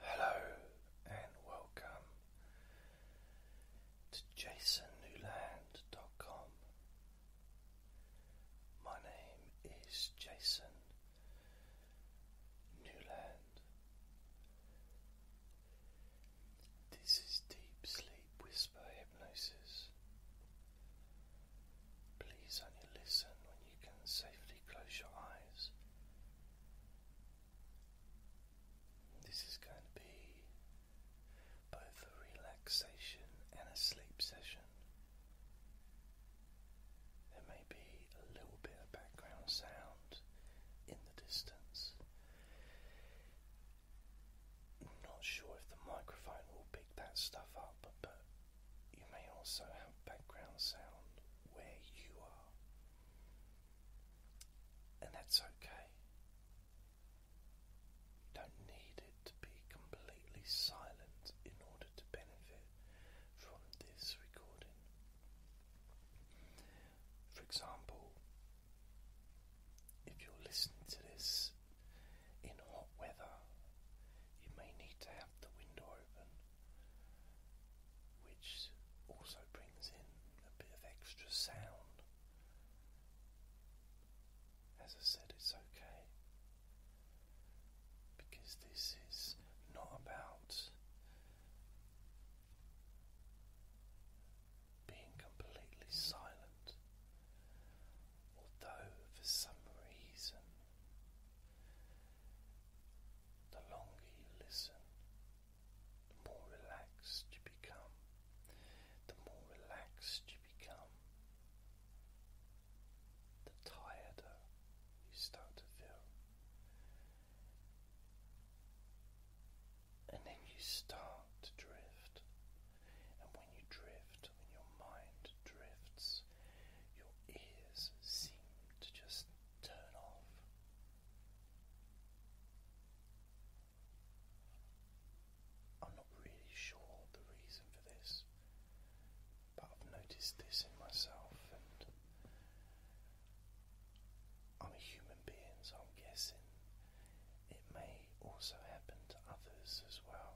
Hello and welcome to jasonnewland.com. My name is Jason Newland. This is Deep Sleep Whisper Hypnosis. Please only listen when you can safely close your eyes. This is going to be both a relaxation and a sleep session. There may be a little bit of background sound in the distance. not sure if the microphone will pick that stuff up, but you may also have background sound where you are, and that's okay. You don't need it to be completely silent in order to benefit from this recording. For example, if you're listening to this in hot weather, you may need to have the window open which also brings in a bit of extra sound. As I said, it's okay because this is not about being completely silent, although for some reason the longer you listen, the more relaxed you become. The more relaxed you become, the tireder you start to feel. And then you start to drift. And when you drift, when your mind drifts, your ears seem to just turn off. I'm not really sure the reason for this, but I've noticed this in myself, and I'm a human being, so I'm guessing it may also happen to others as well.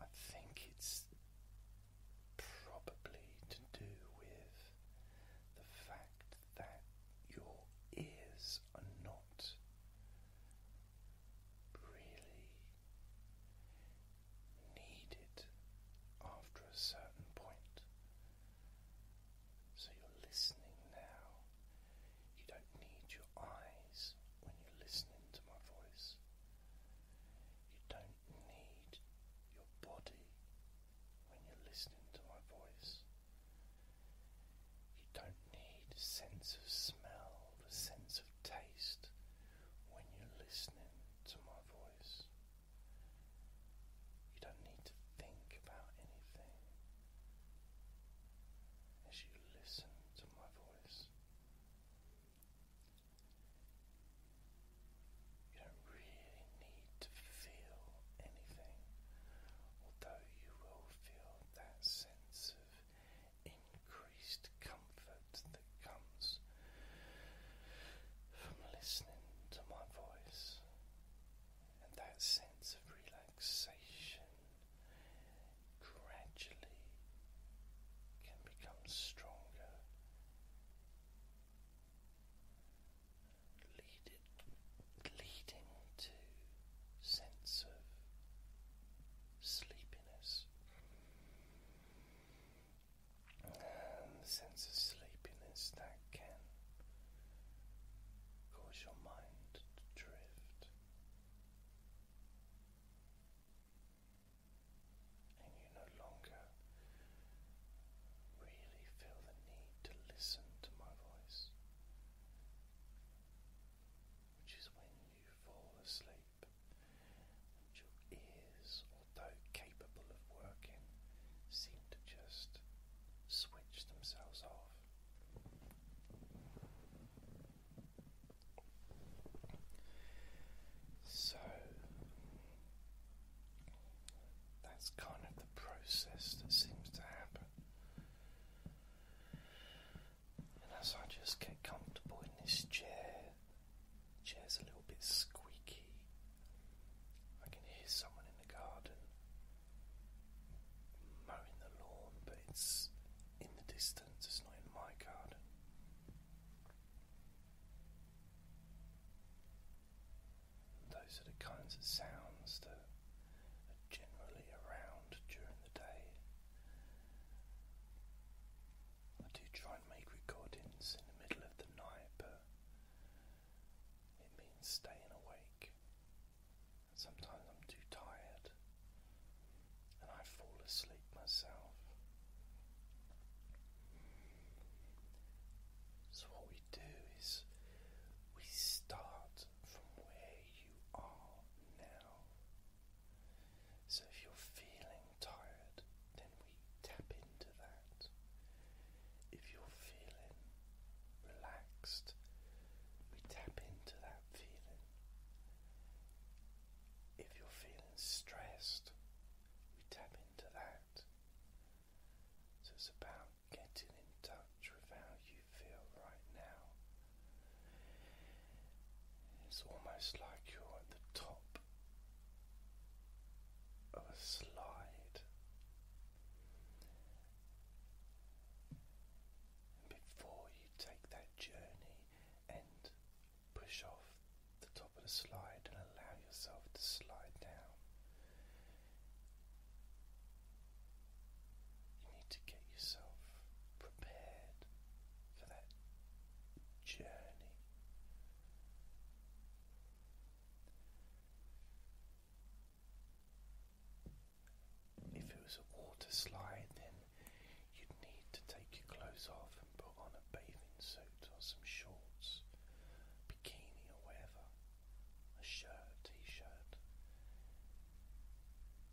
I think it's probably to do with the fact that your ears are not really needed after a certain point. So you're listening now you don't need your eyes when you're listening to my voice. You don't need your body when you're listening to my voice. You don't need a sense of smell, the sense of taste when you're listening to my voice. You don't need to think about anything as you listen to my voice. You don't really need to feel anything, although you will feel that sense of increased comfort that comes from listening to my voice. And that sense of relaxation gradually can become stronger. leading to sense of sleepiness. sense of sleepiness that can cause your mind to drift and you no longer really feel the need to listen to my voice, which is when you fall asleep and your ears, although capable of working, seem to just switch themselves off. So that's kind of the process that seems to happen. And as I just get comfortable in this chair, chair's a little bit squeaky. I can hear someone in the garden mowing the lawn, but it's in the distance instance, it's not in my card. Those are the kinds of sounds that are generally around during the day. I do try and make recordings in the middle of the night, but it means staying awake. Sometimes I'm too tired and I fall asleep myself. So, what we do is we start from where you are now. So, if you're feeling tired, then we tap into that. If you're feeling relaxed, we tap into that feeling. If you're feeling stressed, we tap into that. So it's about getting in touch with how you feel right now. It's almost like you're at the top of a slide. And before you take that journey and push off the top of the slide and allow yourself to slide down. You need to get yourself prepared for that journey. If it was a water slide, then you'd need to take your clothes off and put on a bathing suit or some shorts, bikini, or whatever, a shirt, t shirt.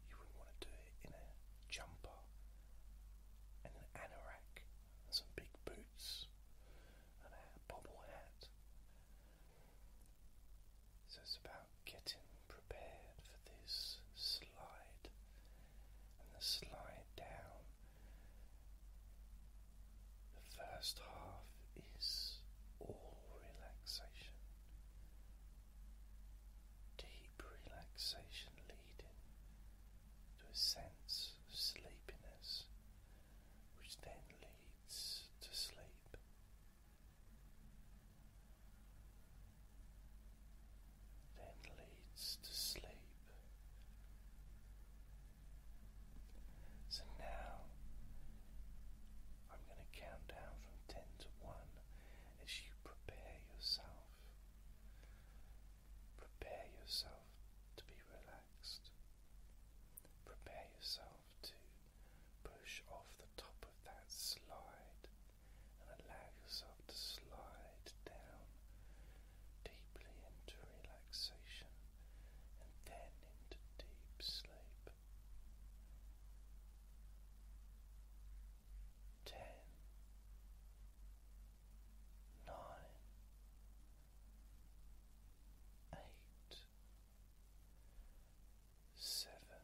You wouldn't want to do it in a jumper and an anorak and some big boots and a bobble hat. So about getting prepared for this slide and the slide down. The first half is all relaxation, deep relaxation leading to a sense of sleepiness, which then leads to sleep then leads to sleep. So now I'm going to count down from 10 to 1 as you prepare yourself. Prepare yourself to be relaxed. Prepare yourself to Push off the top of that slide and allow yourself to slide down deeply into relaxation and then into deep sleep. Ten, nine, eight, seven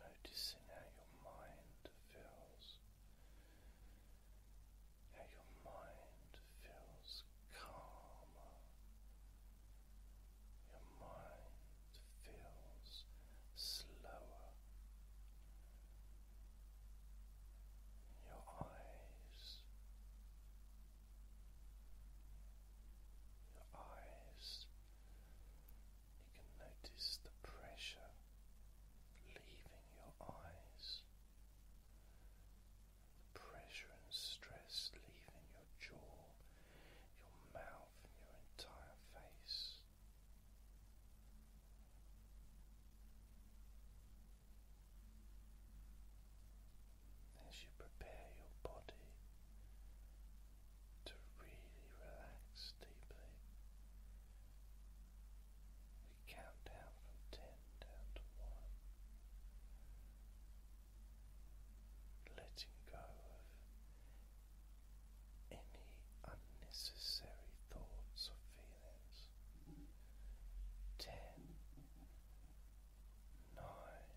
Noticing how your mind feels, how your mind feels calmer, your mind feels slower, your eyes your eyes. You can notice the pressure leaving your eyes, the pressure and stress leaving your jaw, your mouth, your entire face as you prepare your body to really relax deeply. We count down from ten down to one, letting go of any unnecessary thoughts or feelings. Ten, nine,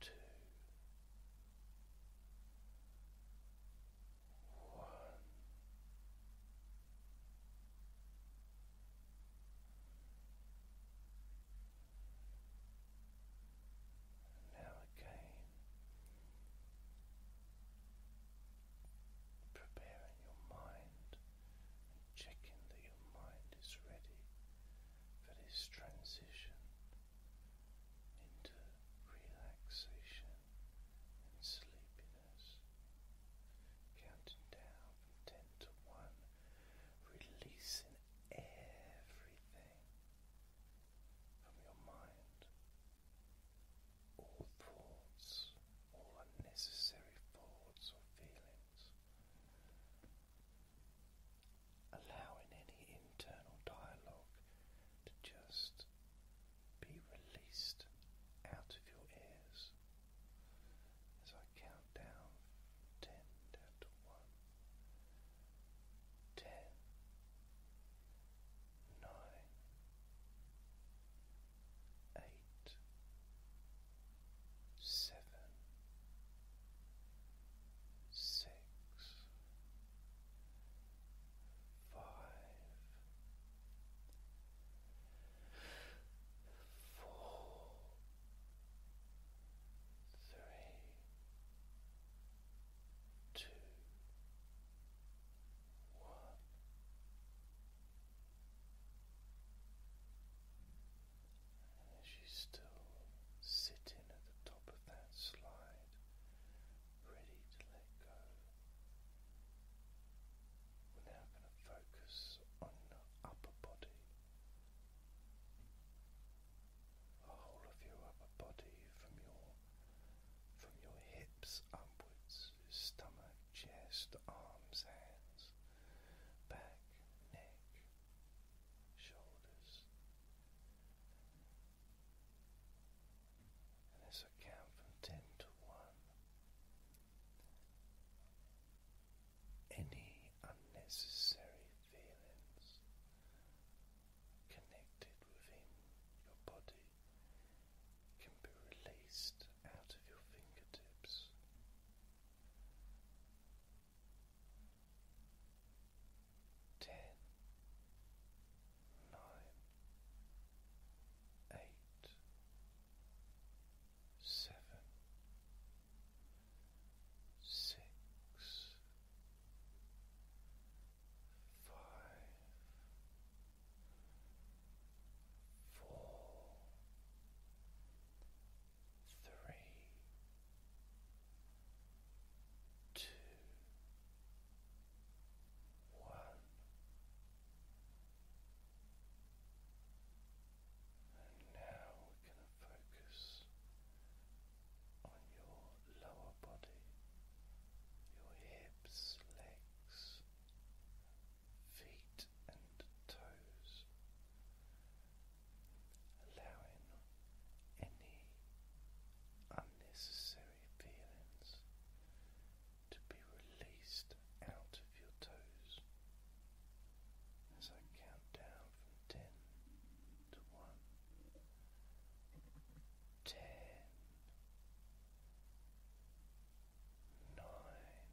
Two, one, now again, preparing your mind and checking that your mind is ready for this transition into relaxation and sleepiness. Counting down from ten to one, releasing everything from your mind. All thoughts, all unnecessary thoughts or feelings, allowing any internal dialogue to just be released out of your ears as I count down ten down to one. Ten, nine, eight, seven, six, five, four, three, two, one as you still sitting at the top of that slide, ready to let go. We're now going to focus on your upper body, the whole of your upper body from your from your hips upwards, stomach, chest, arms, hands, back, neck, shoulders, and as I count from ten to one, any unnecessary feelings connected within your body can be released out of your fingertips ten, nine, eight, seven, six, five, four three, two, one. And now we're going to focus on your lower body, your hips, legs, feet, and toes allowing any unnecessary feelings to be released out of your toes as I count down from ten to one. Ten, nine,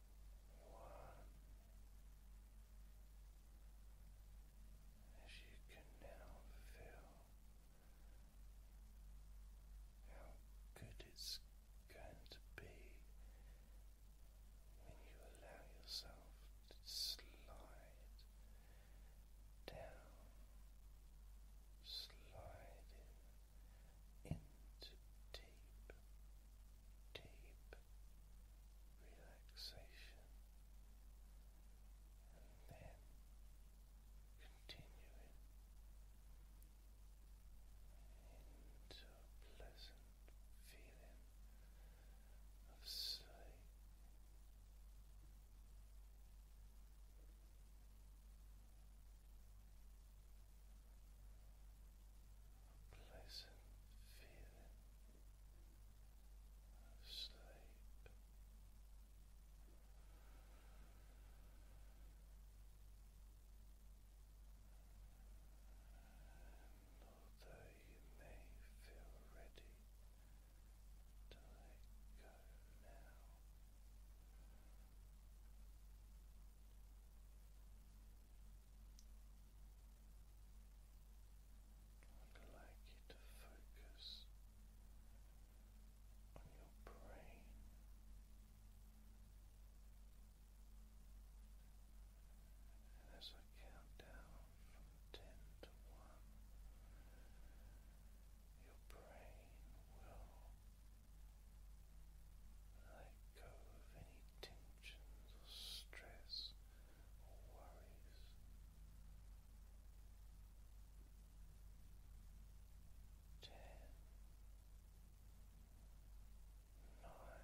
as you can now feel how good it's going to be when you allow yourself to slide down, slide in into deep, deep relaxation, and then continuing into pleasant feeling of sleep pleasant feeling of sleep. And although you may feel ready to let go now, I'd like you to focus on your brain. And as I count down from ten to one, your brain will let go of any tensions or stress or worries. Ten, nine,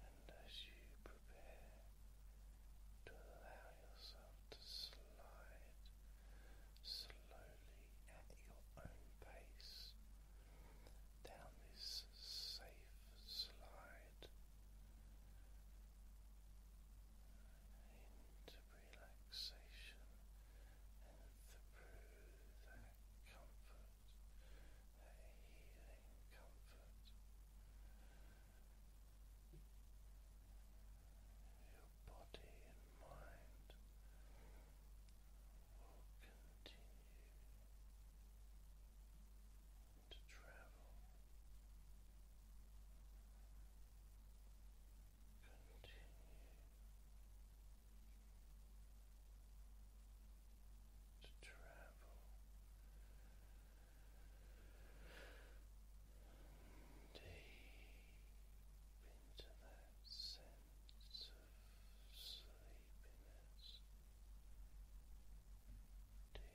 And as you prepare to allow yourself to slide slowly at your own pace down this safe slide into relaxation and through that comfort that healing comfort. Your body and mind will continue to travel. Continue to travel deep into that sense of sleepiness. Deep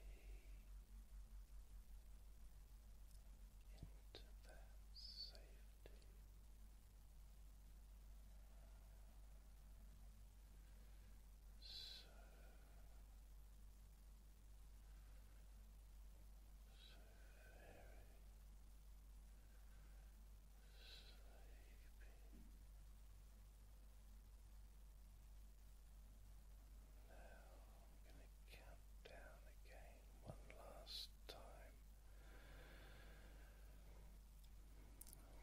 into that safe now I'm going to count down again one last time.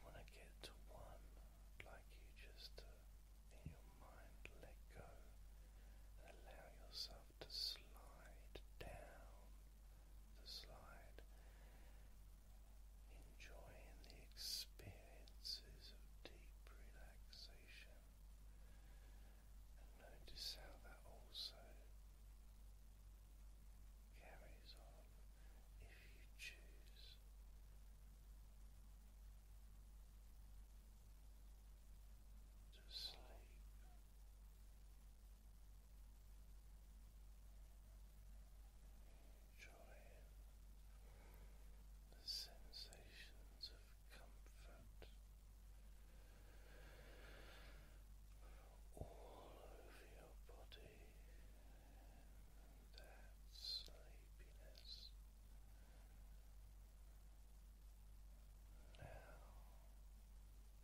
When I get to one, like you just in your mind, let go and allow yourself to slide down the slide, enjoying the experiences of deep relaxation. And notice how that also carries on if you choose. To sleep. Enjoying the sensations of comfort all over your body that sleepiness. Now,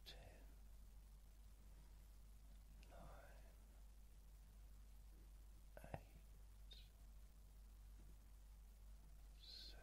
ten, nine, eight, seven, six.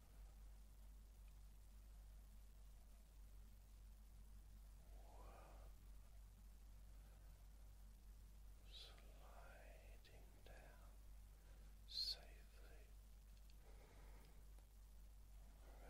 sliding down safely, relaxing deeply.